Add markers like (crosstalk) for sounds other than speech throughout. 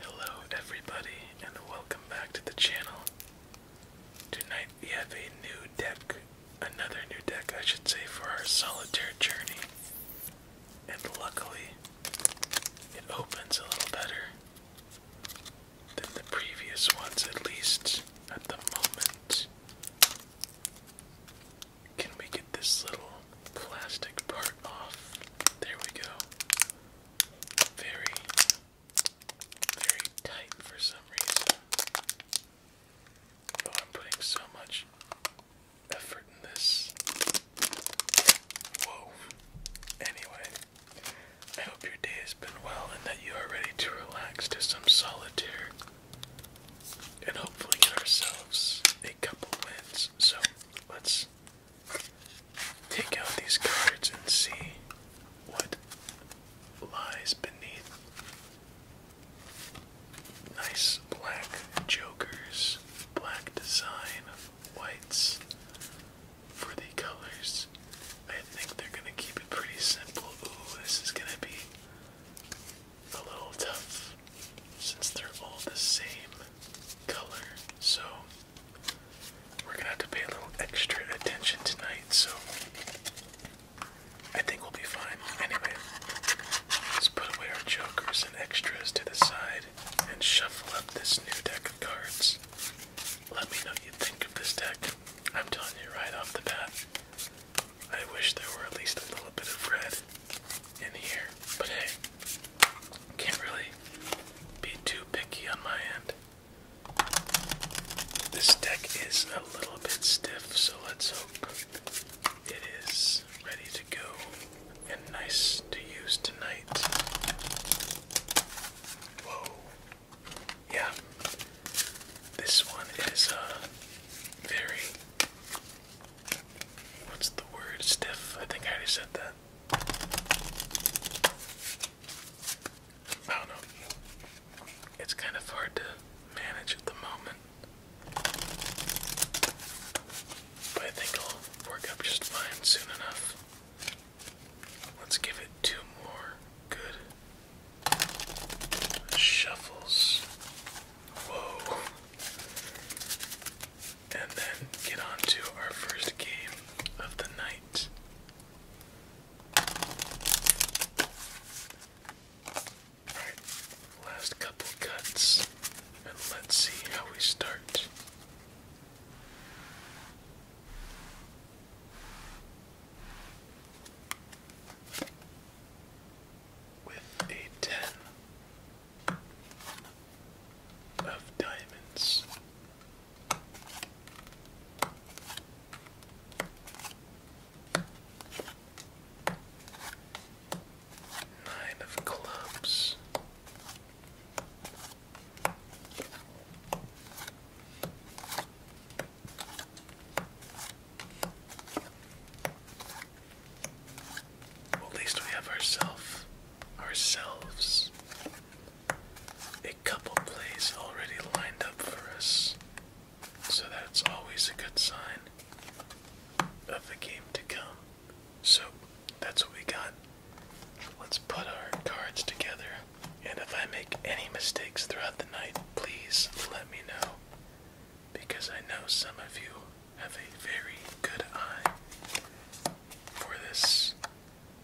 Hello, everybody, and welcome back to the channel. Tonight we have a new deck, another new deck, I should say, for our solitaire journey. And luckily, it opens a little better than the previous ones, at least at the moment. Can we get this little plastic part off? There we go. Very, very tight for some reason. Oh, I'm putting so much effort in this. Whoa. Anyway, I hope your day has been well and that you are ready to relax to some solitaire and hopefully get ourselves a couple wins. So let's take out these cards and see what lies beneath. Nice black jokers, black design, whites for the colors. I think they're gonna keep it pretty simple. Ooh, this is gonna be a little tough since they're all the same color. So we're gonna have to pay a little extra attention tonight. So I think we'll be fine. Anyway, let's put away our jokers and extras to the side and shuffle up this new deck of cards. Let me know what you think of this deck. I'm telling you right off the bat, I wish there were at least a little bit of red in here. But hey, can't really be too picky on my end. This deck is a little bit stiff, so let's hope it is ready to go and nice to use tonight. Whoa. Yeah. This one is uh very What's the word? Stiff? I think I already said that. I don't know. It's kind of hard to manage at the moment. But I think it'll work up just fine soon enough. Let's give it two more good shuffles. Whoa and then get on to our first game of the night. Alright, last couple cuts, and let's see how we start. With a 10 of diamonds. Nine of clubs at least we have ourselves, ourselves, a couple plays already lined up for us. So that's always a good sign of the game to come. So that's what we got. Let's put our cards together. And if I make any mistakes throughout the night, please let me know. Because I know some of you have a very good eye for this,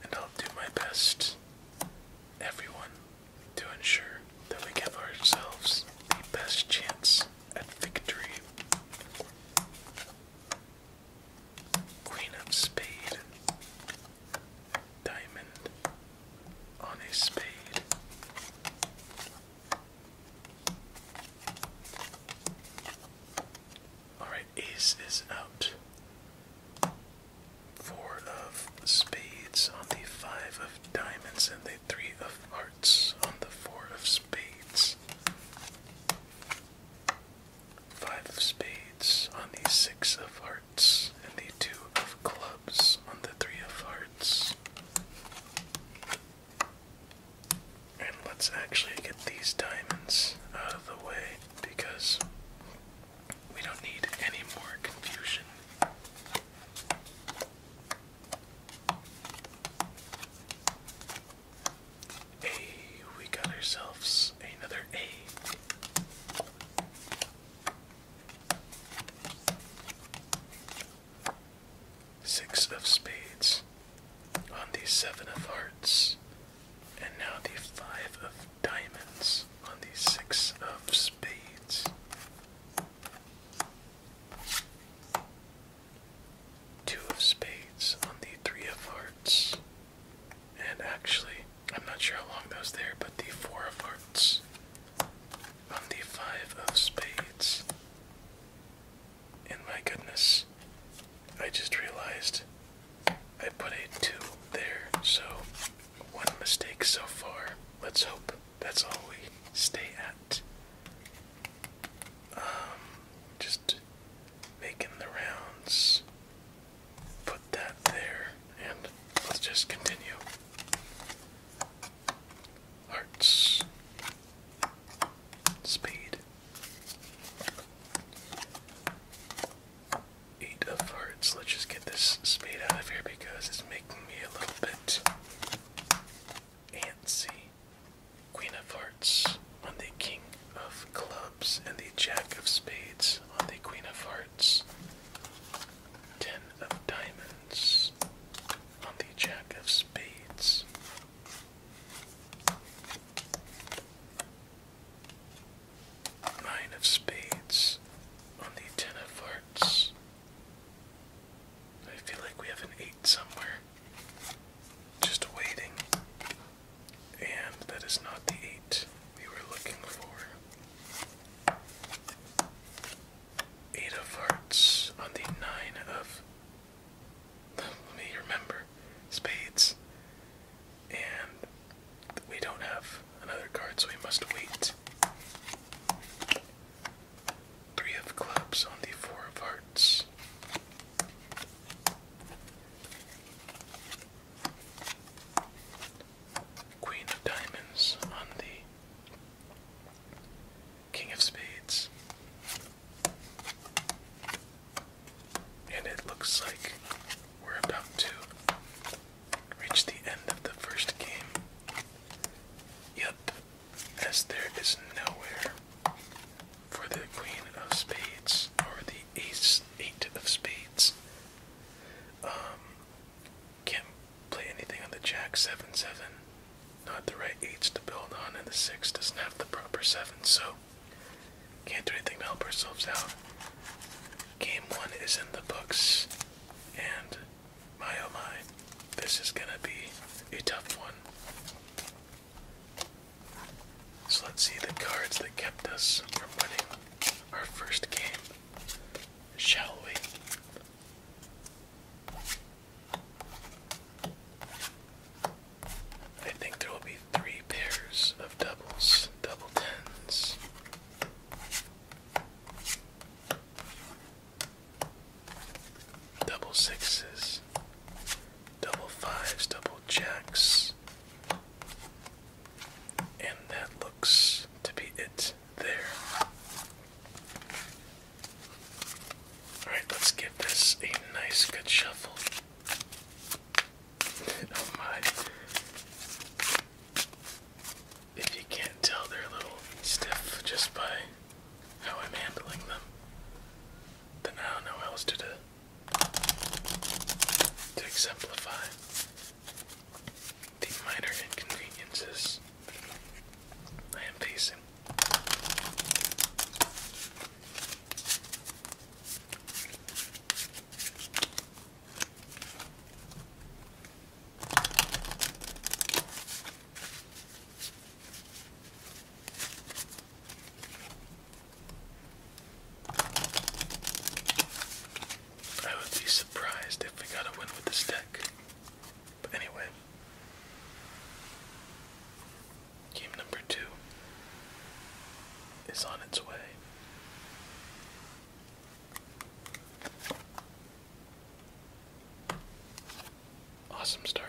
and I'll do my best, everyone, to ensure that we give ourselves the best chance at victory. Queen of spade, diamond on a spade, Alright, ace is out. Four of spades on the five of diamonds and the three of hearts on the four of spades. Five of spades on the six of hearts and the two of clubs on the three of hearts. And let's actually get these diamonds out of the way because we don't need any more confusion. Hey, we got ourselves another A. Six of spades on the seven of hearts, and now the five of diamonds on the six of spades. Two of spades on the three of hearts, and actually, I'm not sure how long those was there, but the four of hearts on the five of spades. In my goodness, I just realized I put a 2 there, so one mistake so far. Let's hope that's all we stay at. Um, just making the rounds. Put that there, and let's just continue. Hearts. Spade. Eight of hearts. Let's just get this spade out of here because it's making me a little bit antsy. Queen of hearts on the king of clubs and the jack of spades on the queen of hearts. Ten of diamonds on the jack of spades. Nine of spades on the ten of hearts. I feel like we have an eight somewhere. Just waiting. And that is not the eight we were looking for. Eight of hearts on the nine of let me remember. Spades. And we don't have another card, so we must wait. Three of clubs on the four of hearts. Queen of diamonds on the King of Spades. And it looks like we're about to reach the end of the first game. Yep, as there is nowhere for the Queen of Spades or the Ace Eight of Spades. Um, can't play anything on the Jack Seven Seven not the right eights to build on, and the six doesn't have the proper seven, so can't do anything to help ourselves out. Game one is in the books, and my oh my, this is gonna be a tough one. So let's see the cards that kept us from winning our first game, shall we? I think there will be three pairs of doubles, double tens. Double sixes, double fives, double jacks, and that looks to be it there. Alright, let's give this a nice good shuffle. (laughs) oh my. If you can't tell, they're a little stiff just by how I'm handling them. Then I don't know else to do to exemplify the minor inconveniences I am facing I would be surprised if we got a win with this deck. But anyway, game number two is on its way. Awesome start.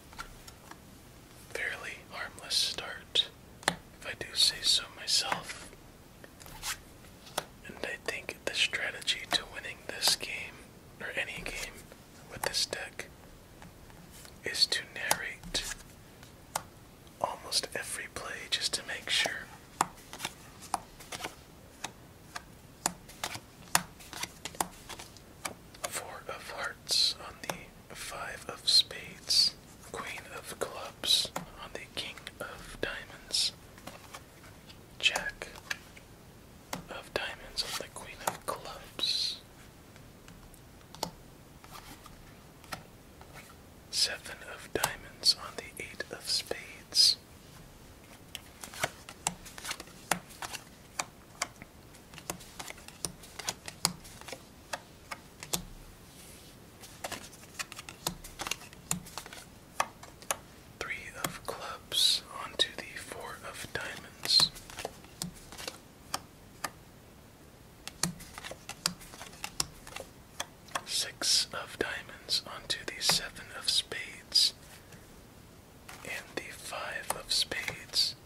fairly harmless start, if I do say so myself. And I think the strategy to winning this game, or any game with this deck, is to narrate almost every play just to make sure. Four of hearts on the five of spades, queen of clubs on the king of diamonds, jack of diamonds on the queen of clubs, seven of diamonds on the eight of spades. Three of clubs onto the four of diamonds. Six of diamonds onto the seven of spades and the five of spades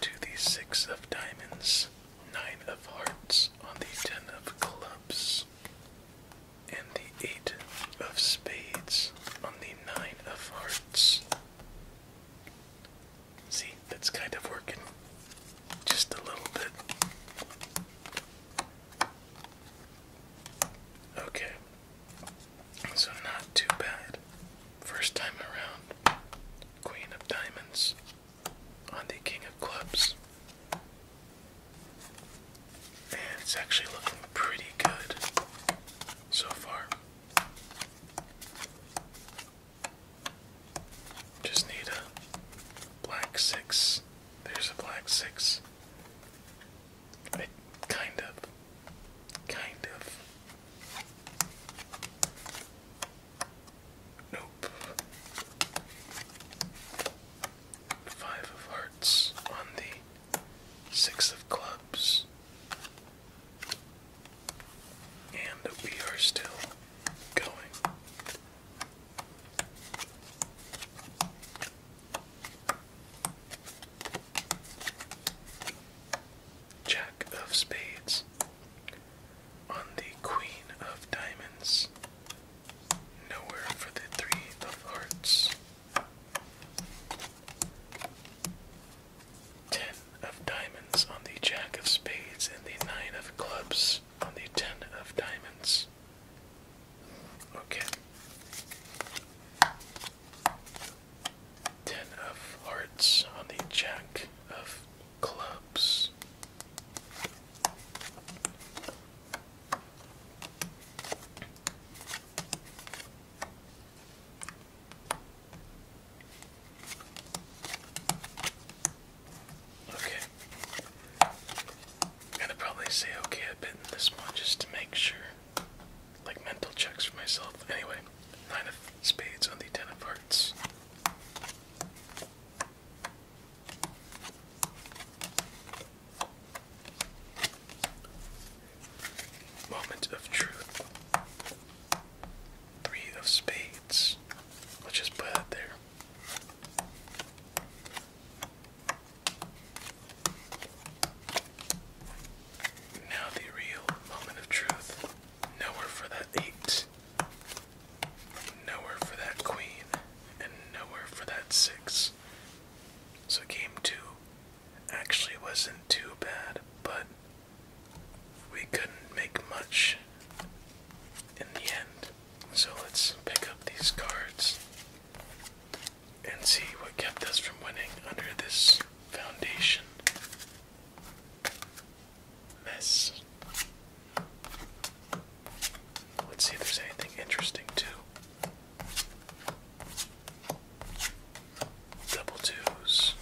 to the six of diamonds, nine of hearts on the ten of clubs, and the eight of spades on the nine of hearts. See, that's kind of working just a little bit. Okay, so not too bad. First time around, Queen of Diamonds on the King of Clubs. And it's actually looking pretty good so far. Just need a black six. There's a black six. I kind of Kind of. Nope. Five of hearts on the six of clubs. And we are still going. Jack of Spades, on the Queen of Diamonds, nowhere for the Three of Hearts, Ten of Diamonds on the Jack of Spades, and the Nine of Clubs on the Ten of Diamonds. Okay. Ten of hearts on the jack of clubs. Okay. i to probably say okay a bit in this one just to make sure like mental checks for myself. Anyway, nine of spades on the ten of hearts. Moment of truth. Three of spades. Let's just put that there. Now the real moment of truth. Nowhere for that eight. Nowhere for that queen. And nowhere for that six. So game two actually wasn't too bad, but we couldn't make much in the end. So let's pick up these cards and see what kept us from winning under this foundation mess. Let's see if there's anything interesting too. Double twos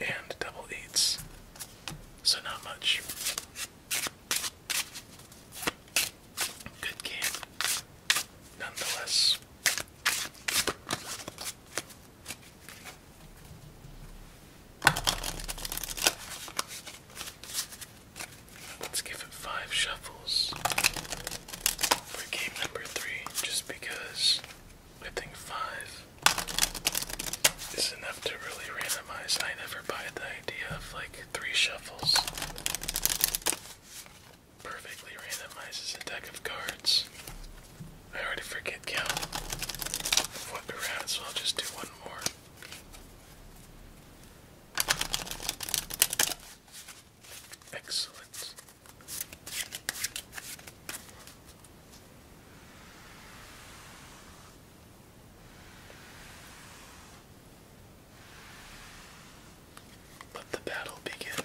and double eights. So not much. Good game. Nonetheless. Let's give it five shuffles for game number three, just because I think five is enough to really randomize. I never buy the idea of like three shuffles perfectly randomizes a deck of cards. I already forget count what around, so i just do one more. Excellent. Let the battle begin.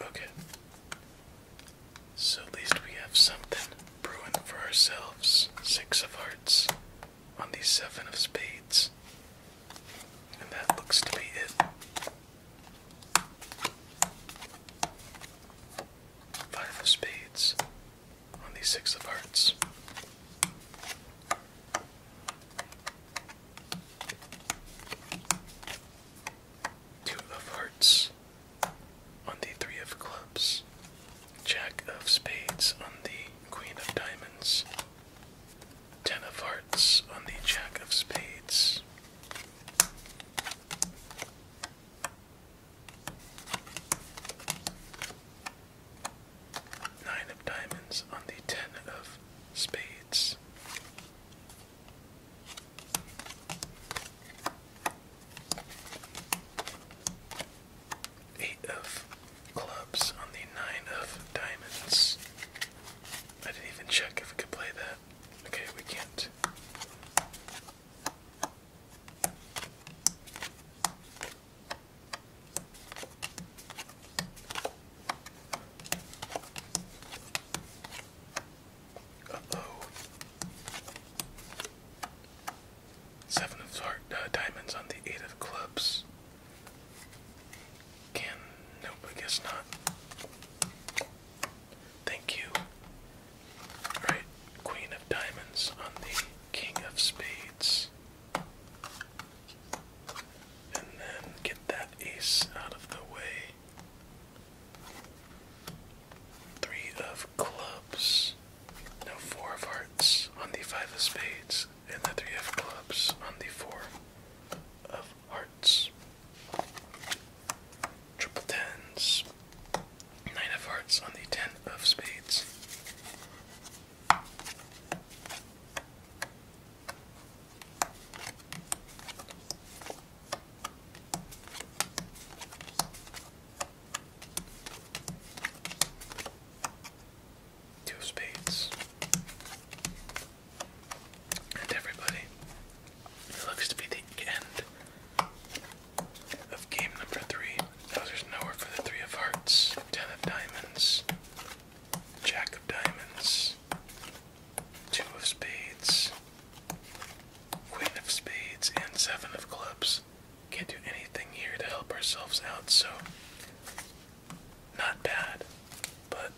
Okay. So at least we have something brewing for ourselves. Six of hearts on the seven of spades. And that looks to be it five of spades on the six of hearts. Two of hearts on the three of clubs. Jack of spades on the queen of diamonds. Ten of hearts on the jack of spades. Nine of diamonds on the ten of spades. Eight of clubs on the nine of diamonds. I didn't even check if we could play that. Okay, we can't. Uh-oh. Seven of heart, uh, diamonds on the eight of clubs. Can nope, I guess not. Thank you. Alright, Queen of Diamonds on the King of Spades. And then get that ace out of the way. Three of clubs. No, four of hearts on the five of spades. And the three of clubs on the four of hearts. Triple tens. Nine of hearts on the ten of spades. Two spades. And everybody. It looks to be the end of game number three. there's nowhere for the three of hearts, ten of diamonds, jack of diamonds, two of spades, queen of spades, and seven of clubs. Can't do anything here to help ourselves out, so not bad, but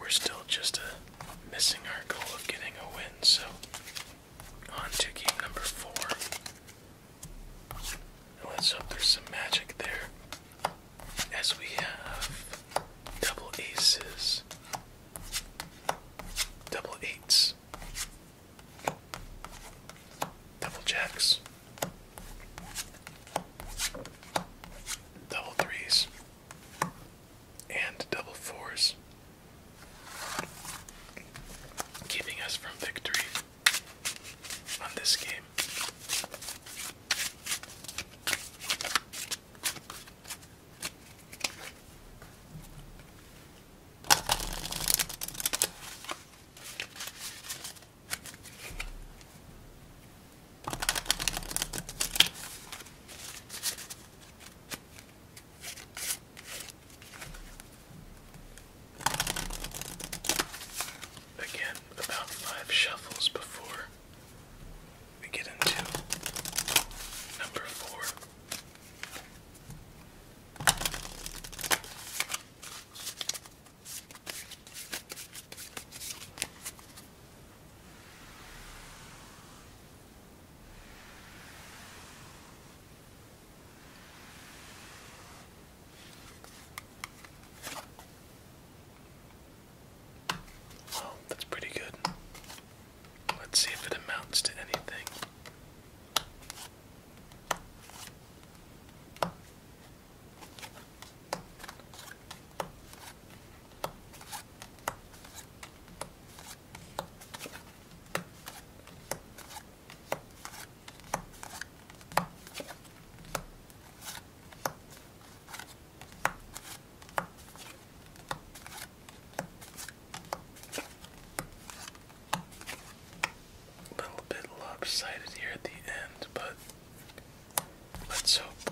we're still just missing our goal of getting a win, so on to game number four. let's hope there's some magic there. As we have double aces, double eights, double jacks, double threes, and double fours, keeping us from victory on this game. Again, about five shuffles before we get into number four. Well, oh, that's pretty good. Let's see if it amounts to anything. A little bit lopsided here at the end, but let's hope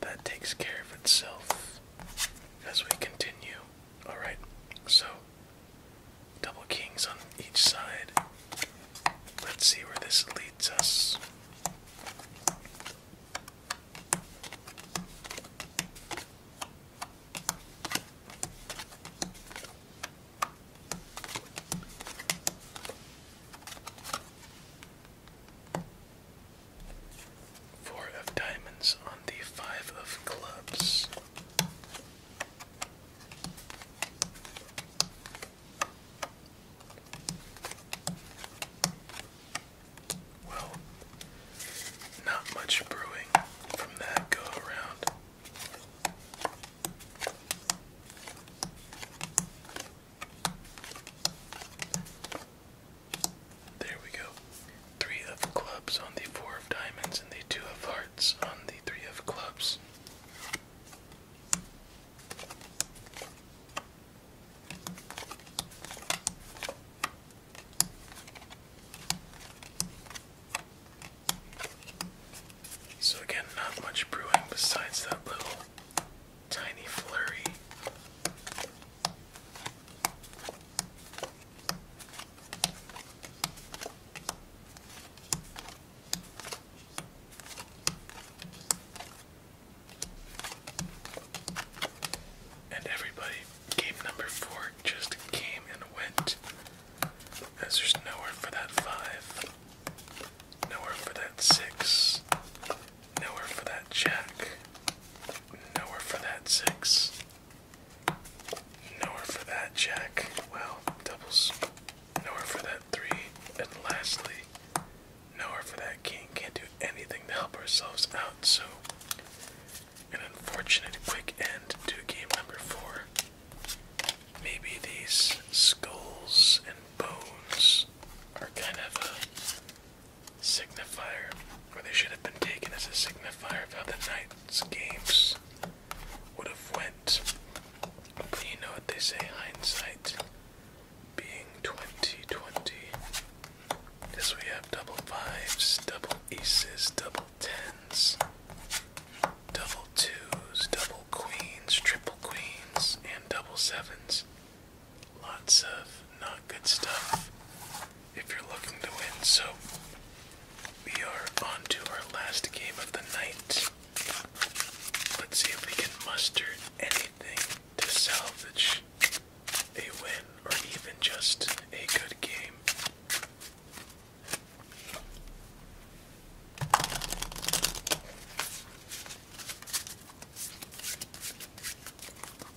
that takes care of itself as we continue. Alright, so double kings on each side. Let's see where this leads us. Four of diamonds on the five of clubs. Well, not much brewing from that go around. There we go. Three of clubs on the four of diamonds and the two of hearts on the three of clubs. So, again, not much brewing besides that little tiny flurry. And everybody, game number four just came and went. As there's nowhere for that five, nowhere for that six, Nowhere for that jack. Nowhere for that six. Nowhere for that jack. Well, doubles. Nowhere for that three. And lastly, nowhere for that king. Can't do anything to help ourselves out, so an unfortunate quick end to game number four. Maybe these skulls and bones are kind of signifier, or they should have been taken as a signifier of how the night's games would have went. But you know what they say, hindsight being 2020. This we have double fives, double aces, double tens, double twos, double queens, triple queens, and double sevens. Lots of not good stuff if you're looking to win. So we are on to our last game of the night. Let's see if we can muster anything to salvage a win or even just a good game.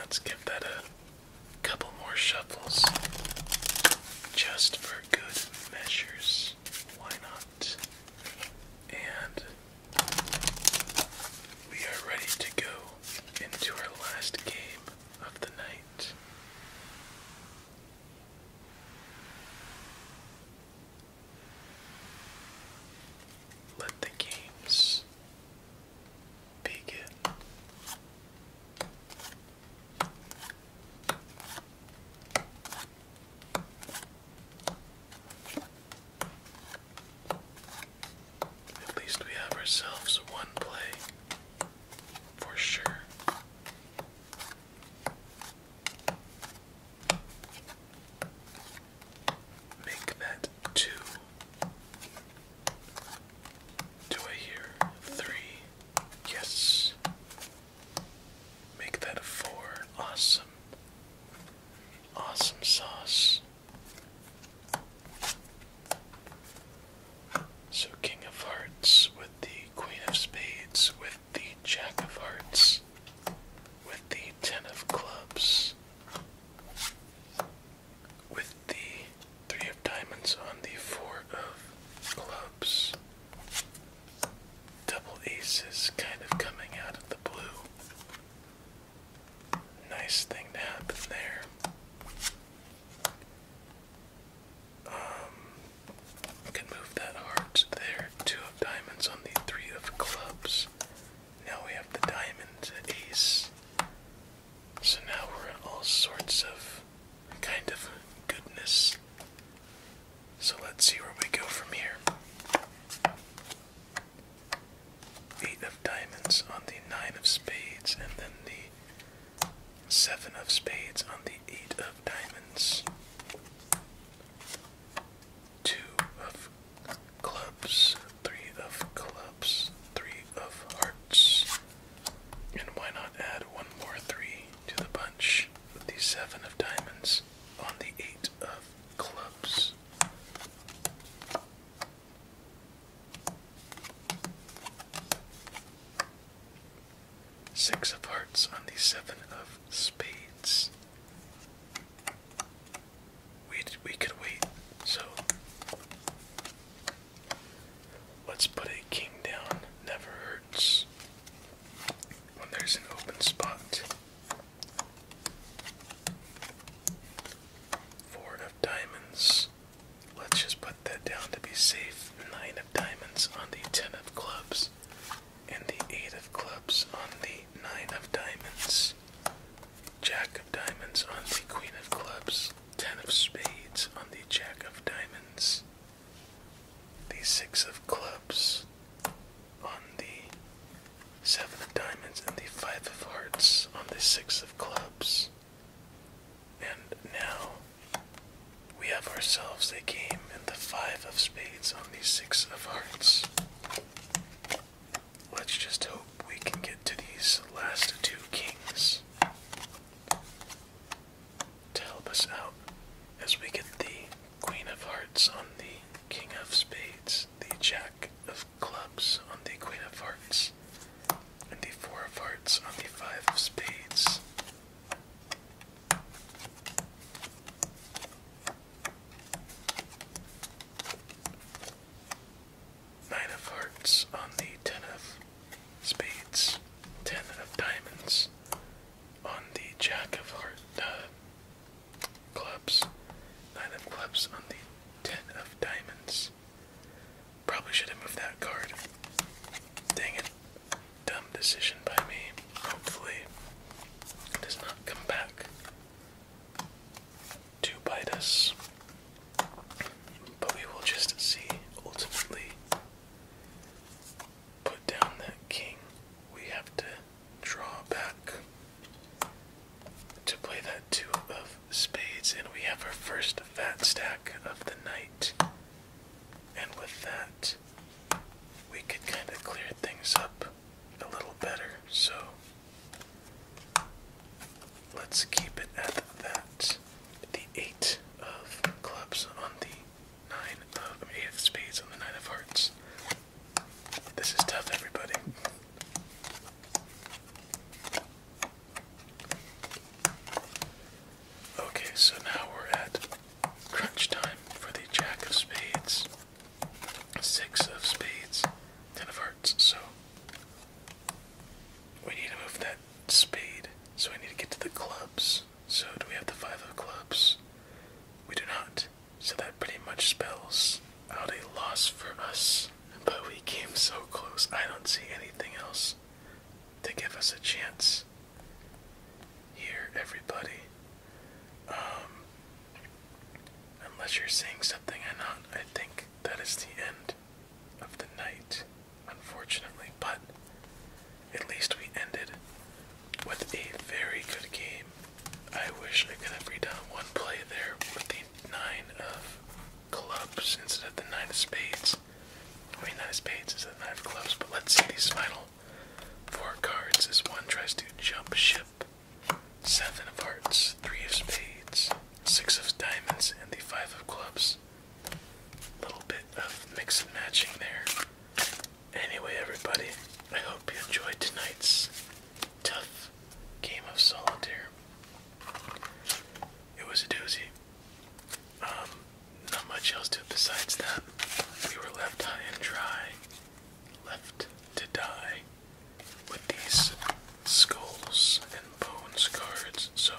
let's give that a couple more shuffles just for good measures. Why not? And we are ready to go into our last game of the night. Let the games begin. At least we have ourselves one play for sure. Make that two. Do I hear three? Yes. Make that a four. Awesome. Awesome sauce. So, King of Hearts with the Queen of Spades with the Jack of Hearts, with the Ten of Clubs, with the Three of Diamonds on the Four of Clubs. Double aces kind of coming out of the blue. Nice thing to happen there. Um, can move that heart there. Two of diamonds on the three of clubs. Now we have the diamond ace. So now we're in all sorts of kind of goodness. So let's see where we go from here. Eight of diamonds on the nine of spades, and then the seven of spades on the eight of diamonds two of clubs, three of clubs, three of hearts. And why not add one more three to the bunch with the seven of diamonds on the eight of clubs? Six of hearts on the seven of spades. We we could wait. So let's put a king down. Never hurts when there's an open spot. Four of diamonds. Let's just put that down to be safe. Nine of diamonds on the ten of clubs and the eight of clubs on the nine of diamonds, jack of diamonds on the queen of clubs, ten of spades on the jack of diamonds, the six of clubs on the seven of diamonds, and the five of hearts on the six of clubs. And now we have ourselves a game and the five of spades on the six of hearts. Let's just hope we can get to these last two kings to help us out as we get the queen of hearts on the king of spades, the jack of clubs on the queen of hearts, and the four of hearts on the five of spades. Nine of hearts on the ten of spades, ten of diamonds on the jack of Hearts. uh, clubs, nine of clubs on the ten of diamonds. Probably should have moved that card. Dang it dumb decision by me. Hopefully, it does not come back to bite us. But we will just see ultimately. Put down that king. We have to draw back to play that two of spades, and we have our first fat stack of the night. And with that, we could kind of clear things up a little better. So let's keep it at that. The eight of clubs on the nine of eight of spades on the nine of hearts. This is tough, everybody. Okay, so now we're at Crunch time for the Jack of Spades, Six of Spades, Ten of Hearts. So we need to move that spade. So we need to get to the clubs. So do we have the Five of Clubs? We do not. So that pretty much spells out a loss for us. But we came so close. I don't see anything else to give us a chance. Here, everybody. Um, unless you're saying something and not, I think that is the end of the night, unfortunately. But at least we ended with a very good game. I wish I could have redone one play there with the nine of clubs instead of the nine of spades. I mean, nine of spades instead of nine of clubs. But let's see these final Four cards as one tries to jump ship. Seven of hearts, three of spades, six of diamonds, and the five of clubs. Little bit of mix and matching there. Anyway, everybody, I hope you enjoyed tonight's tough game of solitaire. It was a doozy. Um, not much else to it besides that. We were left high and dry, left to die with these skulls and bones cards. So,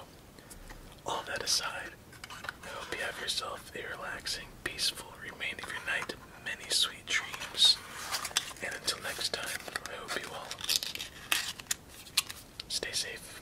all that aside, I hope you have yourself a relaxing, peaceful remainder of your night, many sweet dreams. And until next time, I hope you all stay safe.